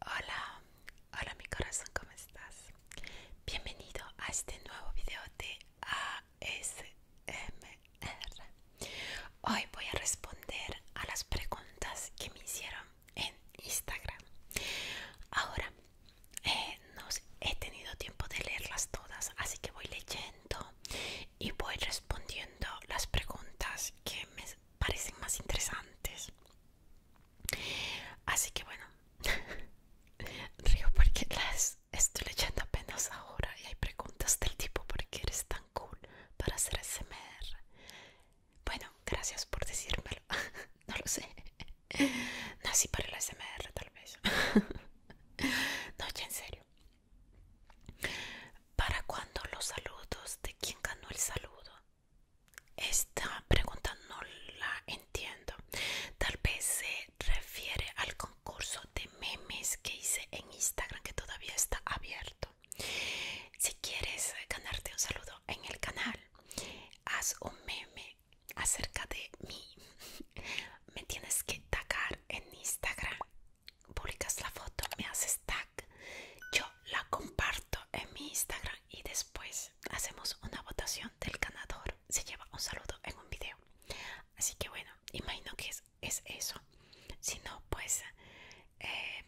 Hola, hola mi corazón, ¿cómo estás? Bienvenido a este nuevo video de ASMR. Hoy voy a responder a las preguntas que me hicieron en Instagram. Ahora eh, no he tenido tiempo de leerlas todas, así que voy leyendo y voy respondiendo las preguntas que me parecen más interesantes. Así que bueno, río porque las estoy leyendo apenas ahora y hay preguntas del tipo ¿por qué eres tan cool para hacer SMR? Bueno, gracias por decírmelo, no lo sé. No, Nací para el SMR tal vez. no, ya en serio. ¿Para cuándo los saludos? ¿De quién ganó el saludo? Esta pregunta no la entiendo. Tal vez se refiere al concurso de memes que hice en Instagram que todavía está abierto. Si quieres ganarte un saludo en el canal, haz un meme acerca de mí. Me tienes que tagar en Instagram. Publicas la foto, me haces tag. Yo la comparto en mi Instagram y después hacemos una votación del ganador. Se lleva un saludo en un video. Así que bueno, imagino que es, eso. Si no, pues eh,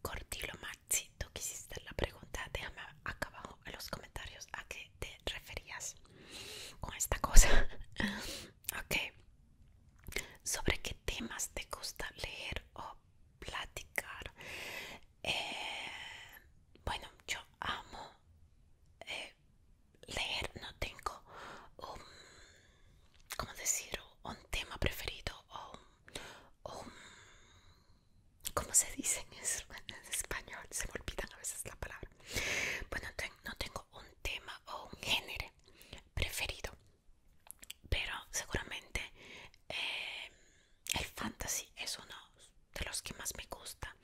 cortilo Cortilo Maxi, tú quisiste la pregunta, déjame acá abajo en los comentarios a qué te referías con esta cosa. ok. ¿Sobre qué temas te gusta leer o platicar? Eh, bueno, yo amo eh, leer, no tengo un, ¿cómo decir? un tema preferido o un ¿Cómo se dicen en español? Se me olvidan a veces la palabra. Bueno, no tengo un tema o un género preferido, pero seguramente eh, el fantasy es uno de los que más me gusta,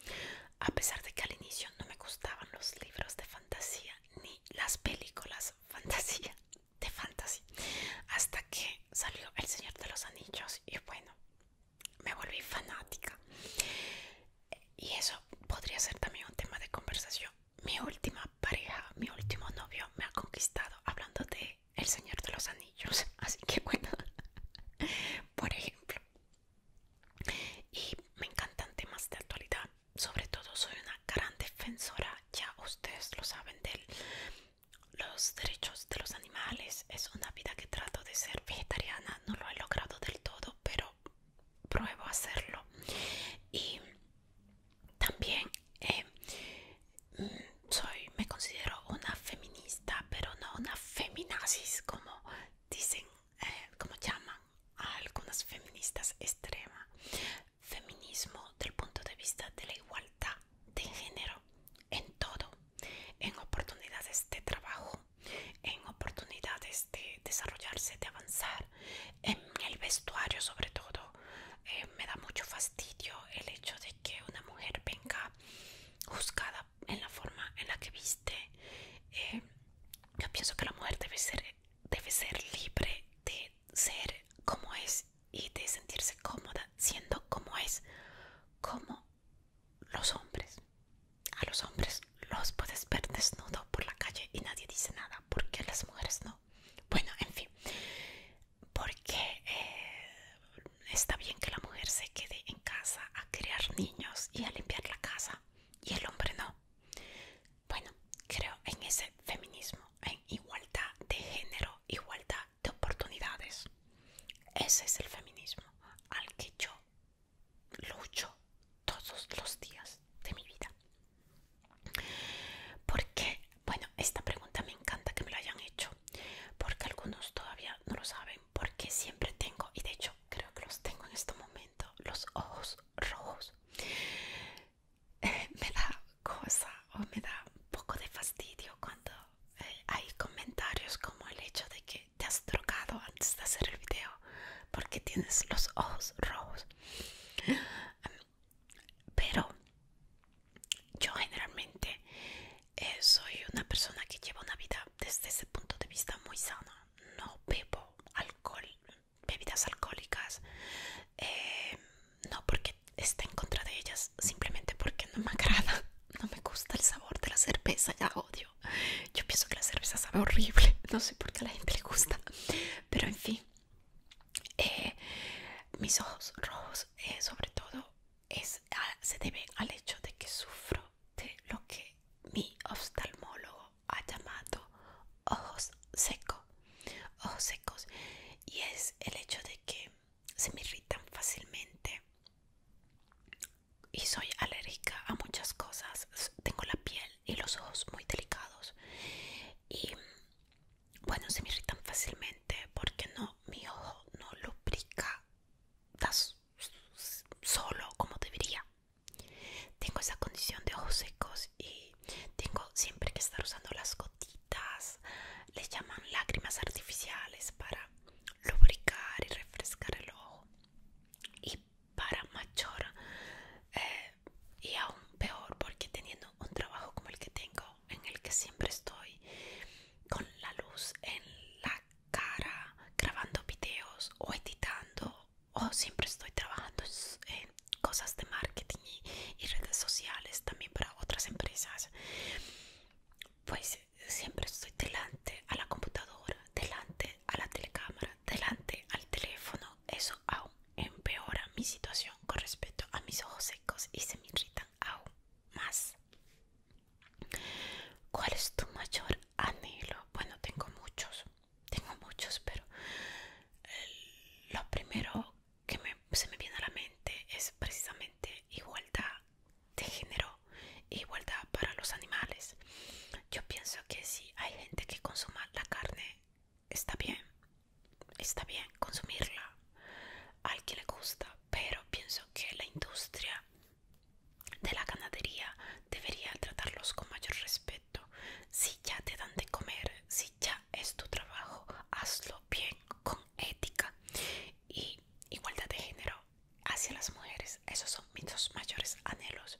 a pesar de que al inicio no me gustaban los libros de fantasía ni las películas fantasía de fantasy, hasta que salió El Señor de los Anillos y bueno, me volví fanática y eso podría ser también un tema de conversación mi última pareja mi último novio me ha conquistado hablando de el señor de los anillos así que bueno por ejemplo y me encantan temas de actualidad sobre todo soy una gran defensora ya ustedes lo saben de los derechos de los animales es una vida que trato de ser vegetariana no lo he logrado del todo, pero pruebo a hacerlo. Y también eh, mm, soy, me considero una feminista, pero no una feminazis como dicen, eh, como llaman a algunas feministas extrema Feminismo del punto de vista de la igualdad de género en todo, en oportunidades de trabajo, en oportunidades de desarrollarse, de avanzar, en el vestuario sobre todo. Eh, me da mucho fastidio el hecho de que una mujer venga juzgada en la forma en la que viste. Eh, yo pienso que la mujer debe ser, debe ser libre de ser como es y de sentirse cómoda siendo como es, como los hombres. A los hombres los puedes ver desnudo por la calle y nadie dice nada. ¿Por qué las mujeres no? Bueno, en fin. Porque eh, está bien que la mujer se quede en casa a criar niños y a limpiar la casa y el hombre no. Bueno, creo en ese feminismo, en igualdad de género, igualdad de oportunidades. Ese es el feminismo al que yo lucho todos los días de mi vida. Porque, bueno, esta pregunta me encanta que me la hayan hecho, porque algunos todavía no lo saben, porque siempre tengo, y de hecho creo que los tengo en este momento, los ojos rojos. me da cosa o me da un poco de fastidio cuando eh, hay comentarios como el hecho de que te has drogado antes de hacer el video porque tienes los ojos rojos. Pero yo generalmente eh, soy una persona que lleva una vida desde ese punto de vista muy sana. No bebo alcohol, bebidas alcohólicas, eh, no porque esté en contra de ellas, simplemente porque no me agrada, no me gusta el sabor de la cerveza, la odio yo. pienso que la cerveza sabe horrible. No sé por qué a la gente le gusta. Pero en fin. Eh, mis ojos rojos, eh, sobre todo, es, ah, se deben al hecho de que sufro de lo que mi oftalmólogo ha llamado ojos secos. Ojos secos. Y es el hecho de que se me irritan fácilmente y soy alérgica a muchas cosas. Tengo la piel y los ojos muy delicados. Y bueno, se me irritan fácilmente porque no, mi ojo no lubrica solo como debería. Tengo esa condición de ojos secos y tengo siempre que estar usando las gotitas. Les llaman lágrimas artificiales para lubricar y refrescar el ojo y para mayor eh, y aún peor porque teniendo un trabajo como el que tengo en el que siempre estoy con la luz en la cara grabando videos o editando o siempre estoy trabajando en cosas de marketing y, y redes sociales también para otras empresas pues siempre estoy delante a la computadora, delante a la telecámara, delante al teléfono. Eso aún empeora mi situación con respecto a mis ojos secos y se me irritan aún más. ¿Cuál es tu mayor anhelo? Bueno, tengo muchos, tengo muchos, pero eh, lo primero que se me viene a la mente es precisamente igualdad de género igualdad para los animales. Yo pienso que si hay gente que consuma la carne, está bien, está bien consumirla al que le gusta, pero pienso que la industria de la ganadería debería tratarlos con mayor respeto. Si ya te dan de comer, si ya es tu trabajo, hazlo bien, con ética y igualdad de género hacia las mujeres. Esos son mis dos mayores anhelos.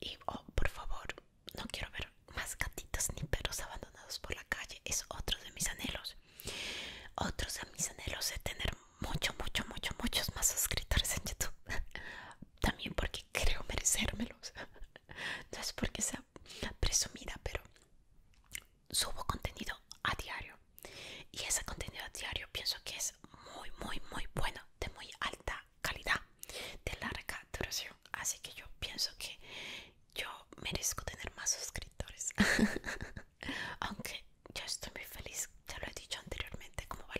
Y, oh, por favor, no quiero ver más gatitos ni perros abandonados por la calle. Es otro de mis anhelos. otros de mis anhelos es tener mucho, mucho, mucho, muchos más suscriptores en YouTube. También porque creo merecérmelos. No es porque sea presumida, pero subo contenido a diario y ese contenido diario pienso que es muy muy muy bueno de muy alta calidad de larga duración así que yo pienso que yo merezco tener más suscriptores aunque yo estoy muy feliz ya lo he dicho anteriormente como va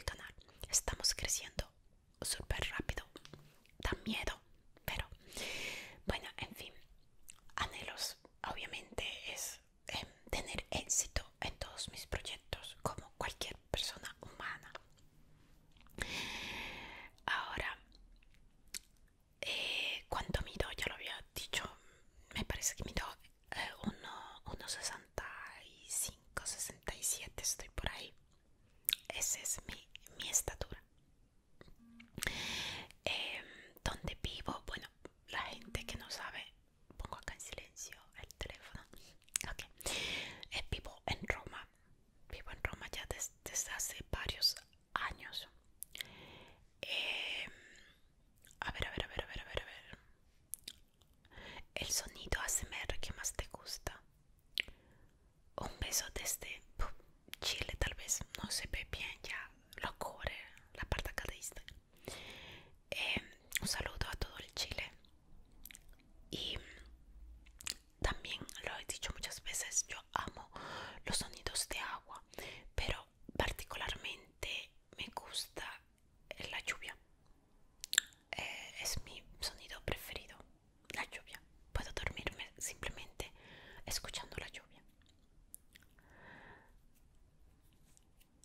estamos creciendo súper rápido da miedo pero bueno en fin anhelos obviamente es Em, tener éxito en todos mis proyectos como cualquier persona humana. Ahora, eh, cuando ¿cuánto mido? Ya lo había dicho, me parece que mido 1,65, 67, estoy por ahí. Esa es mi, estatura. Em, ¿Dónde vivo? Bueno, la gente que no sabe pongo acá en silencio el teléfono. Eh, vivo en Roma. Vivo en Roma ya desde hace varios años. Em, a ver, a ver, a ver, a ver, a ver, ver. El sonido ASMR que más te gusta. Un beso desde Chile, tal vez. No se ve bien, ya lo cubre la parte acá Em, un saludo a todo el Chile. Y también lo he dicho muchas veces, yo amo los sonidos de agua, pero particularmente me gusta la lluvia. Eh, es mi sonido preferido, la lluvia. Puedo dormirme simplemente escuchando la lluvia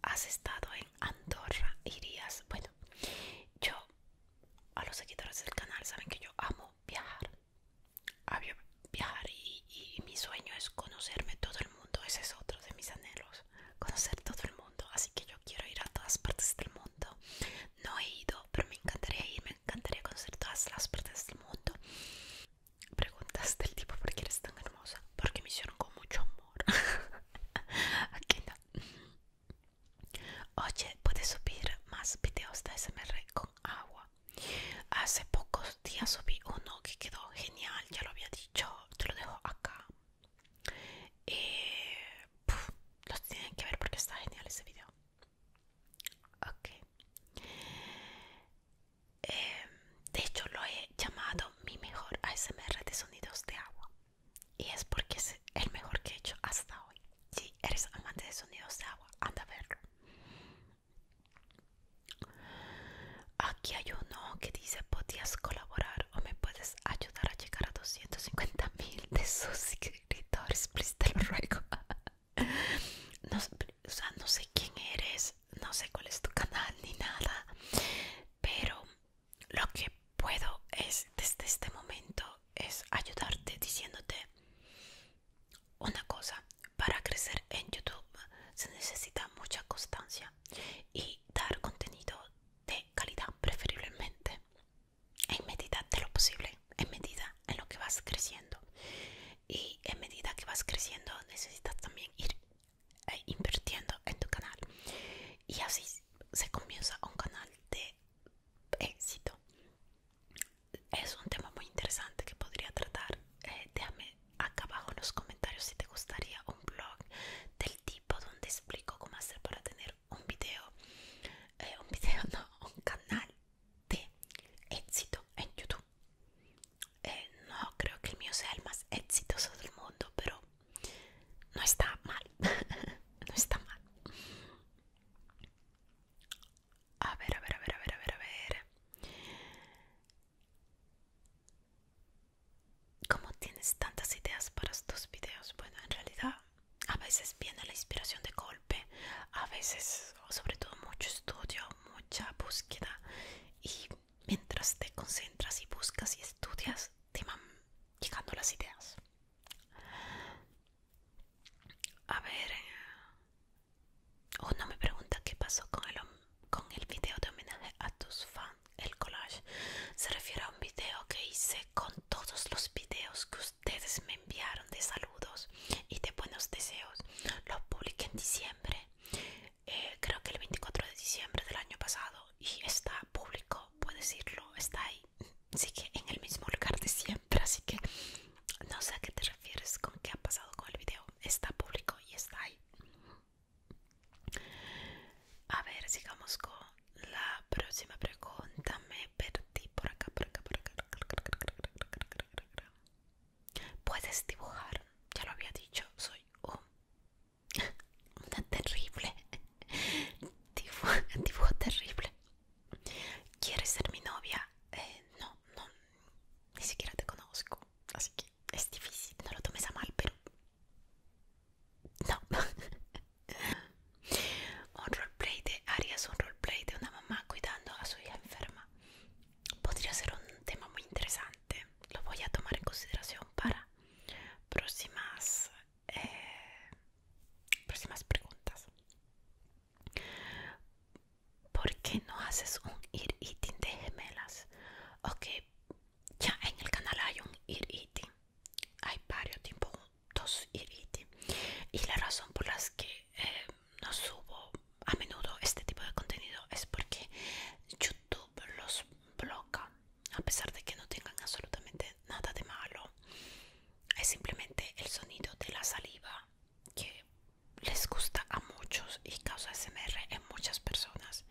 has estado en Andorra, irías. Bueno, yo, a los seguidores del canal, saben que yo amo viajar. Había viajar y, mi sueño es conocerme todo el mundo. Ese es otro de mis anhelos, conocer todo el mundo. Así que yo quiero ir a todas partes del mundo. No he ido, pero me encantaría ir, me encantaría conocer todas las partes del mundo. Preguntas del tipo, ¿por qué eres tan hermosa? Porque me hicieron con mucho amor. Oye, puedes subir más videos de ASMR con agua. Hace pocos días subí uno que quedó genial, ya lo había dicho, te lo dejo acá. Eh, los tienen que ver porque está genial ese video. Em, de hecho, lo he llamado mi mejor ASMR de sonidos de agua. Y es porque es el mejor que he hecho hasta hoy. Si eres amante de sonidos de agua, anda a verlo. Aquí hay uno que dice, podías colaborar o me puedes ayudar a llegar a 250.000 mil de suscriptores, te lo ruego. No, o sea, no sé quién eres, no sé cuál es tu canal ni nada, pero lo que puedo es desde este momento es ayudarte diciéndote una cosa para crecer en youtube se necesita mucha constancia y dar contenido de calidad preferiblemente en medida de lo posible en medida en lo que vas creciendo y en medida que vas creciendo necesitas también ir eh, invirtiendo en tu canal y así se comienza un canal de éxito es un tema muy interesante que podría tratar eh, déjame acá abajo en los comentarios si te gustaría un blog del tipo donde explico cómo hacer para tener un video eh, un video no un canal de éxito en youtube no creo que el mío sea el más exitoso del mundo pero no está mal, no está mal. A ver, a ver, a ver, a ver, a ver, a ver. ¿Cómo tienes tantas ideas para estos videos? Bueno, en realidad a veces viene la inspiración de golpe, a veces, sobre todo, mucho estudio, mucha búsqueda. Y mientras te concentras y buscas y estudias, te van llegando las ideas. A ver... Uno me pregunta qué pasó con el, con el video de homenaje a tus fans, el collage. Se refiere a un video que hice con todos los videos que ustedes me enviaron de saludos y de buenos deseos. Lo publiqué en diciembre, eh, creo que el 24 de diciembre del año pasado y está público puedes irlo, está ahí. que en el mismo lugar de siempre, así que no sé a qué te refieres con qué ha pasado con el video. Está público y está ahí. A ver, sigamos con la próxima pregunta. Me perdí por acá, por acá, por acá. Puedes dibujar, ya lo había dicho, soy un una terrible. Dibujo, terrible. ¿Quieres ser mi novia? Eh, no, no. Ni siquiera te conozco. Así que es difícil. No lo tomes a mal, pero... No. un roleplay de Arias, un roleplay de una mamá cuidando a su hija enferma. Podría ser un tema muy interesante. Lo voy a tomar en consideración para próximas eh, próximas preguntas. ¿Por qué no haces un Ir eating de gemelas? Ok, ya en el canal hay un ir eating. Hay varios, tipos, dos ir eating. Y la razón por las que eh, no subo a menudo este tipo de contenido es porque YouTube los bloca a pesar de que no tengan absolutamente nada de malo es simplemente el sonido de la saliva que les gusta a muchos y causa SMR en muchas personas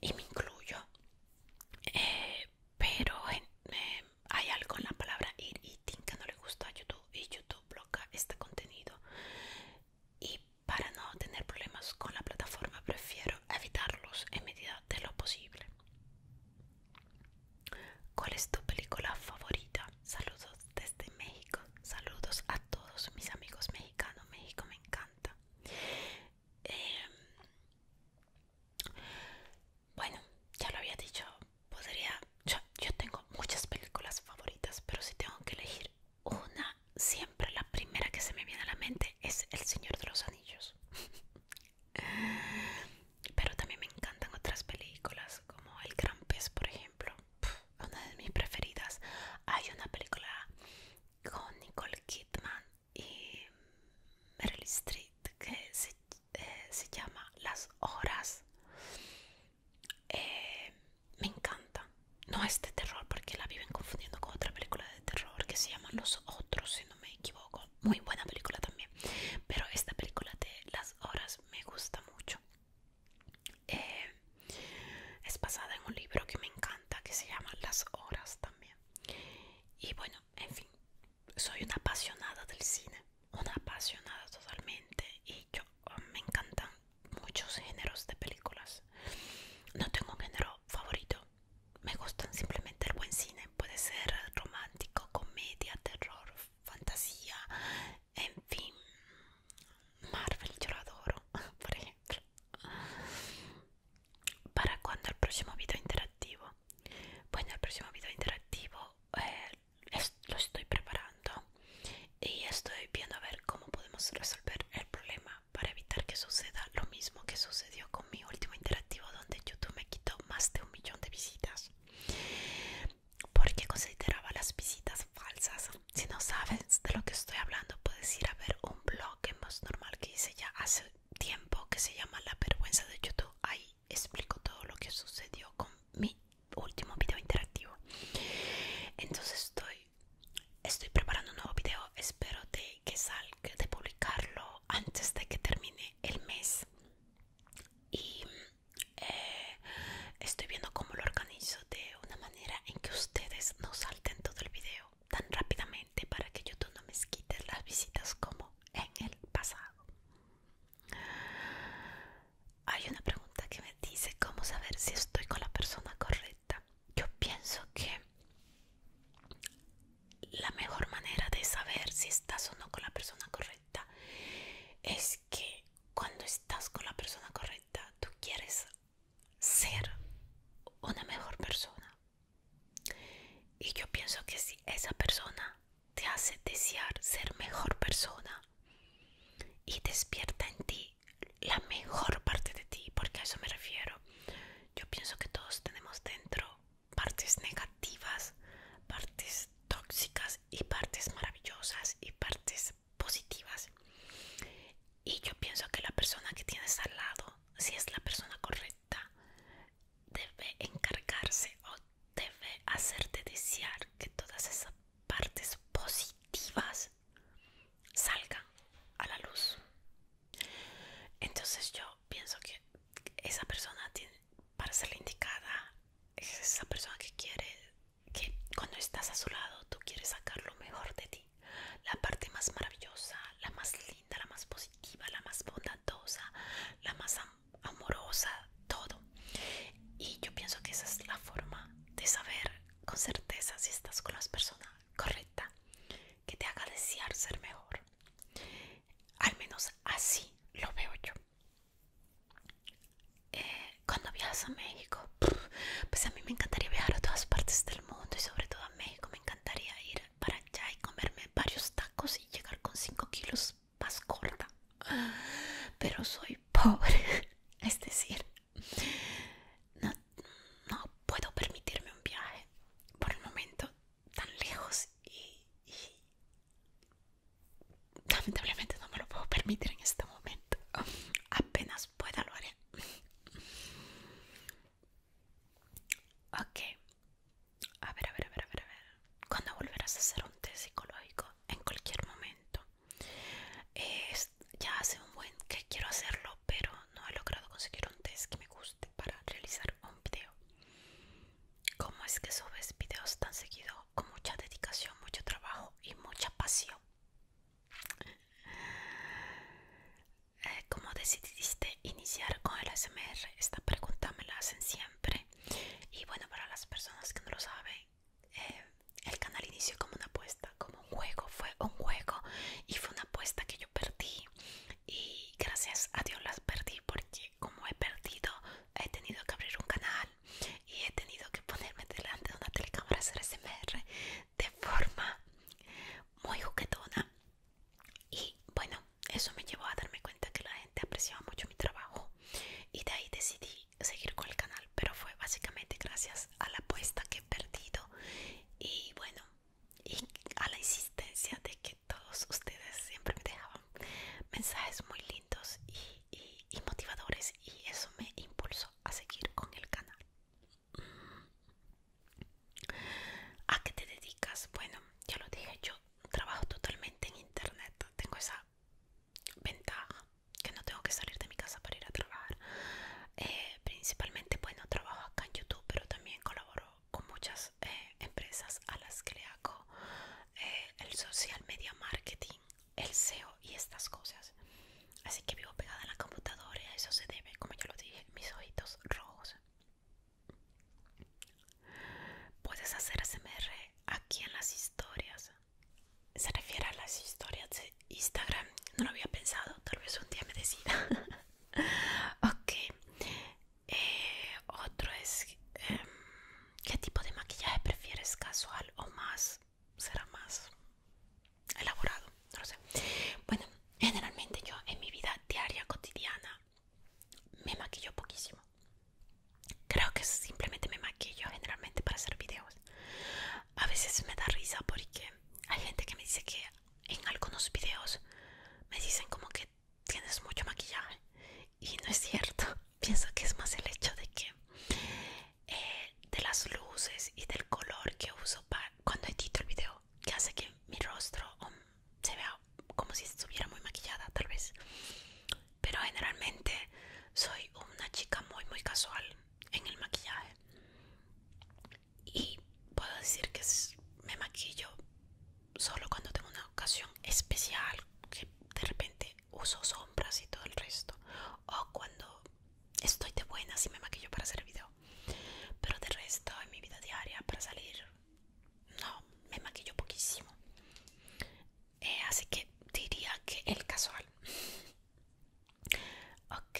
y me incluyo eh, pero eh, eh, hay algo en la palabra ir eating que no le gusta a YouTube y YouTube bloca este contenido y para no tener problemas con la plataforma prefiero evitarlos en medida de lo posible. ¿Cuál es tu película favorita? Saludos desde México. Saludos a todos mis amigos mexicanos. México me encanta. Em, bueno, ya lo había dicho. Podría. Yo, tengo muchas películas favoritas, pero si tengo que elegir una, siempre pero la primera que se me viene a la mente es El Señor de los Anillos. Pero también me encantan otras películas como El Gran Pez, por ejemplo. Una de mis preferidas. Hay una película con Nicole Kidman y Meryl Streep que se, eh, llama Las Horas. Eh, me encanta. No es de terror porque la viven confundiendo con otra película de terror que se llama Los Otros no me equivoco. Muy buena película también. Pero esta película de las horas me gusta mucho. Eh, es basada en un libro que me encanta que se llama Las Horas también. Y bueno, en fin, soy una apasionada del cine, una apasionada totalmente. Y yo oh, me encantan muchos géneros de películas. No tengo un género favorito, me gustan simplemente el buen cine. Puede ser romántico, comedia, terror, fantasía, en fin. Marvel yo lo adoro, por ejemplo. ¿Para cuando el próximo video interactivo? Bueno, el próximo video interactivo eh, lo estoy preparando y estoy viendo a ver cómo podemos resolver el problema para evitar que suceda lo mismo que sucedió con mi último interactivo donde YouTube me quitó más de un millón de visitas porque consideraba las visitas falsas. Si no sabes de lo que estoy hablando, puedes ir a ver un blog en más normal que hice ya hace tiempo que se llama La vergüenza de YouTube. Ahí explico todo lo que sucedió con mi último video interactivo. Entonces estoy, estoy preparando un nuevo video. Espero de que salga de publicarlo antes de que termine el mes y eh, estoy viendo cómo lo organizo de una manera en que ustedes no salten todo el video tan rápidamente para que YouTube no me quite las visitas como en el pasado. Hay una pregunta que me dice cómo saber si estoy con la persona correcta. Yo pienso que la mejor manera de saber si estás o no con la persona correcta es que cuando estás con la persona correcta tú quieres ser una mejor persona y yo pienso que si esa persona te hace desear ser mejor persona y despierta en ti la mejor parte de ti porque a eso me refiero yo pienso que todos tenemos dentro partes negativas, partes tóxicas y partes maravillosas y partes positivas. Y yo pienso que la persona que tienes al lado, si es la persona correcta, debe encargarse o debe hacerte desear que todas esas partes positivas salgan a la luz. Entonces yo pienso que esa persona tiene, para ser la indicada, es esa persona que quiere, que cuando estás a su lado tú quieres sacar lo mejor de ti, la parte más maravillosa, la más linda, la más positiva, la más bondadosa, la más amorosa, todo. Y yo pienso que esa es la forma de saber con certeza si estás con las persona correcta que te haga desear ser mejor. Al menos así lo veo yo. Eh, cuando viajas a México, pues a mí me encantaría viajar a todas partes del mundo y sobre todo a México. Me encantaría ir para allá y comerme varios tacos y llegar con 5 kilos más corta. Pero soy pobre, es decir, no, no puedo permitirme un viaje. Por el momento tan lejos y, lamentablemente no me lo puedo permitir en este momento. Apenas pueda lo haré. Ok. A ver, a ver, a ver, a ver, a ver. ¿Cuándo volverás a hacer un test psicológico? En cualquier momento. ya hace un buen que quiero hacerlo, pero no he logrado conseguir un test que me guste para realizar un video. ¿Cómo es que subes videos tan seguido? Con mucha dedicación, mucho trabajo y mucha pasión. Eh, ¿Cómo decidiste iniciar con el ASMR? Esta pregunta me la hacen siempre. Y bueno, para las personas que no lo saben, eh, el canal inició como una apuesta, como un juego. Fue un juego y fue una apuesta que perdí y gracias a Dios las perdí porque como he perdido he tenido que abrir un canal y he tenido que ponerme delante de una telecámara hacer SMR de forma muy juguetona y bueno eso me llevó a darme cuenta que la gente apreciaba mucho mi trabajo y de ahí decidí seguir con el canal pero fue básicamente gracias a la apuesta que he perdido y bueno y a la insistencia de que todos ustedes siempre me dejaban mensajes muy lindos y, motivadores y eso me impulsó a seguir con el canal. ¿A qué te dedicas? Bueno, ya lo dije, yo trabajo totalmente en internet, tengo esa ventaja que no tengo que salir de mi casa para ir a trabajar. Eh, principalmente, bueno, trabajo acá en YouTube, pero también colaboro con muchas eh, empresas a las que le hago eh, el social media marketing, el SEO y estas cosas. Así que vivo pegada a la computadora y a eso se debe, como yo lo dije, mis ojitos rojos. Puedes hacer SMR aquí en las historias. Se refiere a las historias de Instagram. No lo había pensado, tal vez un día me decida. ok, eh, otro es em, qué tipo de maquillaje prefieres, casual o más será más elaborado, no lo sé. Bueno, generalmente yo en mi vida diaria cotidiana me maquillo poquísimo. Creo que simplemente me maquillo generalmente para hacer videos. A veces me da risa porque hay gente que me dice que en algunos videos me dicen como que tienes mucho maquillaje y no es cierto pienso que es más el hecho de que eh, de las luces y del color que uso para cuando edito el video que hace que mi rostro se vea como si estuviera muy maquillada tal vez pero generalmente soy una chica muy muy casual en el maquillaje y puedo decir que me maquillo solo cuando tengo una ocasión especial que de repente uso sombras y todo el resto o cuando estoy de buena y me maquillo para hacer video pero de resto en mi vida diaria para salir no me maquillo poquísimo eh, así que diría que el casual ok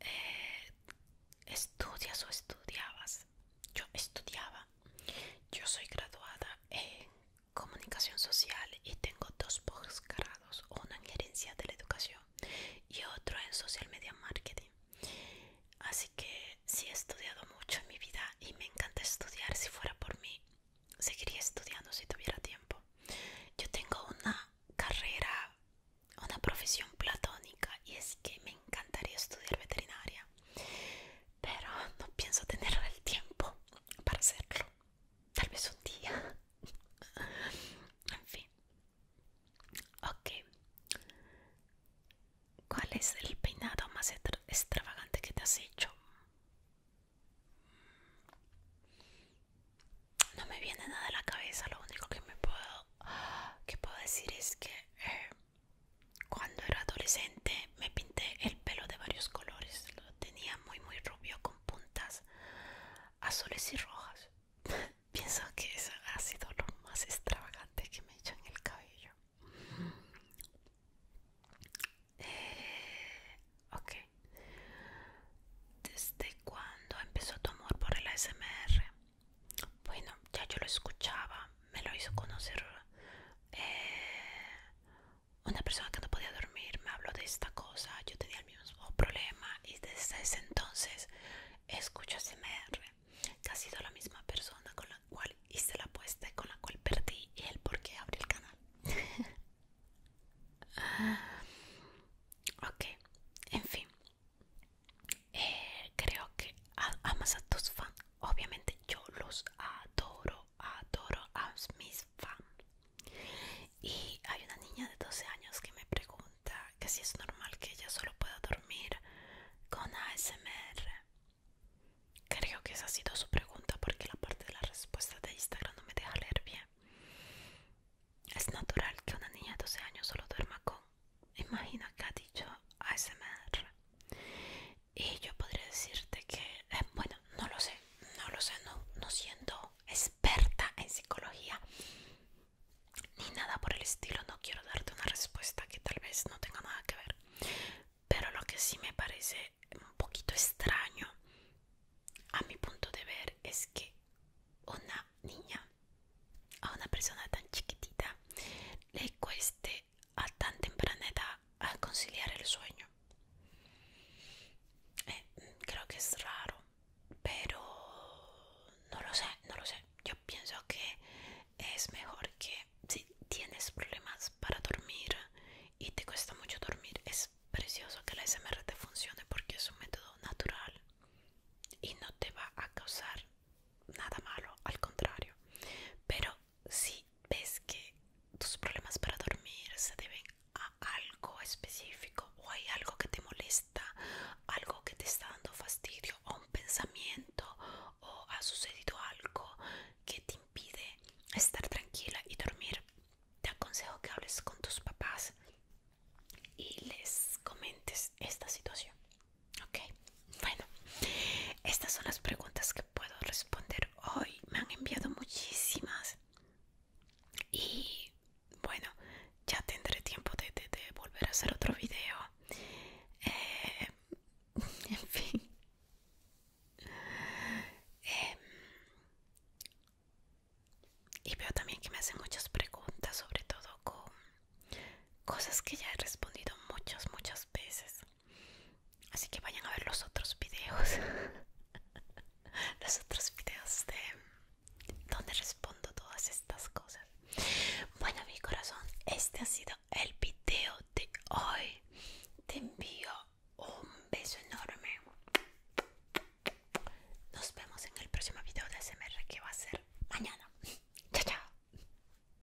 eh, estudias o estudiabas yo estudiaba, yo soy graduada en comunicación social y tengo dos posgrados, uno en gerencia de la educación y otro en social media marketing. Así que sí he estudiado mucho en mi vida y me encanta estudiar. Si fuera por mí, seguiría estudiando si tuviera tiempo. Yo tengo una carrera, una profesión platónica y es que me encantaría estudiar veterinaria pero no pienso tener el tiempo para hacerlo tal vez un día en fin ok cuál es el peinado más extravagante que te has hecho no me viene nada a la cabeza lo único que me puedo que puedo decir es que eh, cuando era adolescente me pinté el pelo de varios colores. Lo tenía muy muy rubio con puntas azules y rojas. Pienso que eso ha sido lo más extravagante que me he hecho en el cabello. Eh, ok. ¿Desde cuándo empezó tu amor por el ASMR? Bueno, ya yo lo escuchaba, me lo hizo conocer eh, una persona que no podía dormir, me habló de esta cosa, yo tenía el mismo problema y desde ese entonces escucho SMR, que ha sido la misma persona con la cual hice la apuesta y con la cual perdí y el por qué abrí el canal. ok, en fin. Eh, creo que amas a tus fans. Obviamente yo los adoro, adoro a mis fans. Y hay una niña de 12 años que me pregunta que si es normal que ella solo pueda dormir con ASMR. Creo que esa ha sido su pregunta porque la parte de la respuesta de Instagram no me deja leer bien. Es natural que una niña de 12 años solo duerma con imagina que ha dicho ASMR y yo podría decirte que eh, bueno no lo sé no lo sé no, no siendo experta en psicología ni nada por el estilo no quiero darte una respuesta que tal vez no tenga nada que ver pero lo que sí me parece un poquito extraño a mi punto de ver es que una niña a una persona tan chiquitita le cueste a tan temprana edad a conciliar el sueño. Eh, creo que es raro, pero no lo sé, no lo sé. Yo pienso que es mejor que si tienes problemas para dormir y te cuesta mucho dormir, es precioso que la SMR te funcione porque es un método natural y no te va a causar nada malo, al contrario. Pero si ves que tus problemas para dormir se deben a algo específico o hay algo que te molesta, algo que te está dando fastidio o un pensamiento o ha sucedido algo que te impide estar tranquila y dormir, te aconsejo que hables con tus papás y les comentes esta situación. Ok, bueno, estas son las preguntas que puedo responder hoy. Me han enviado muchísimas. Y bueno, ya tendré tiempo de, volver a hacer otro video. Eh, en fin. Em, y veo también que me hacen muchas preguntas, sobre todo con cosas que ya he respondido muchas, muchas veces. Así que vayan a ver los otros videos. los otros videos de donde respondo todas estas cosas. Bueno, mi corazón, este ha sido el video de hoy. Te envío un beso enorme. Nos vemos en el próximo video de SMR que va a ser mañana. Chao, chao.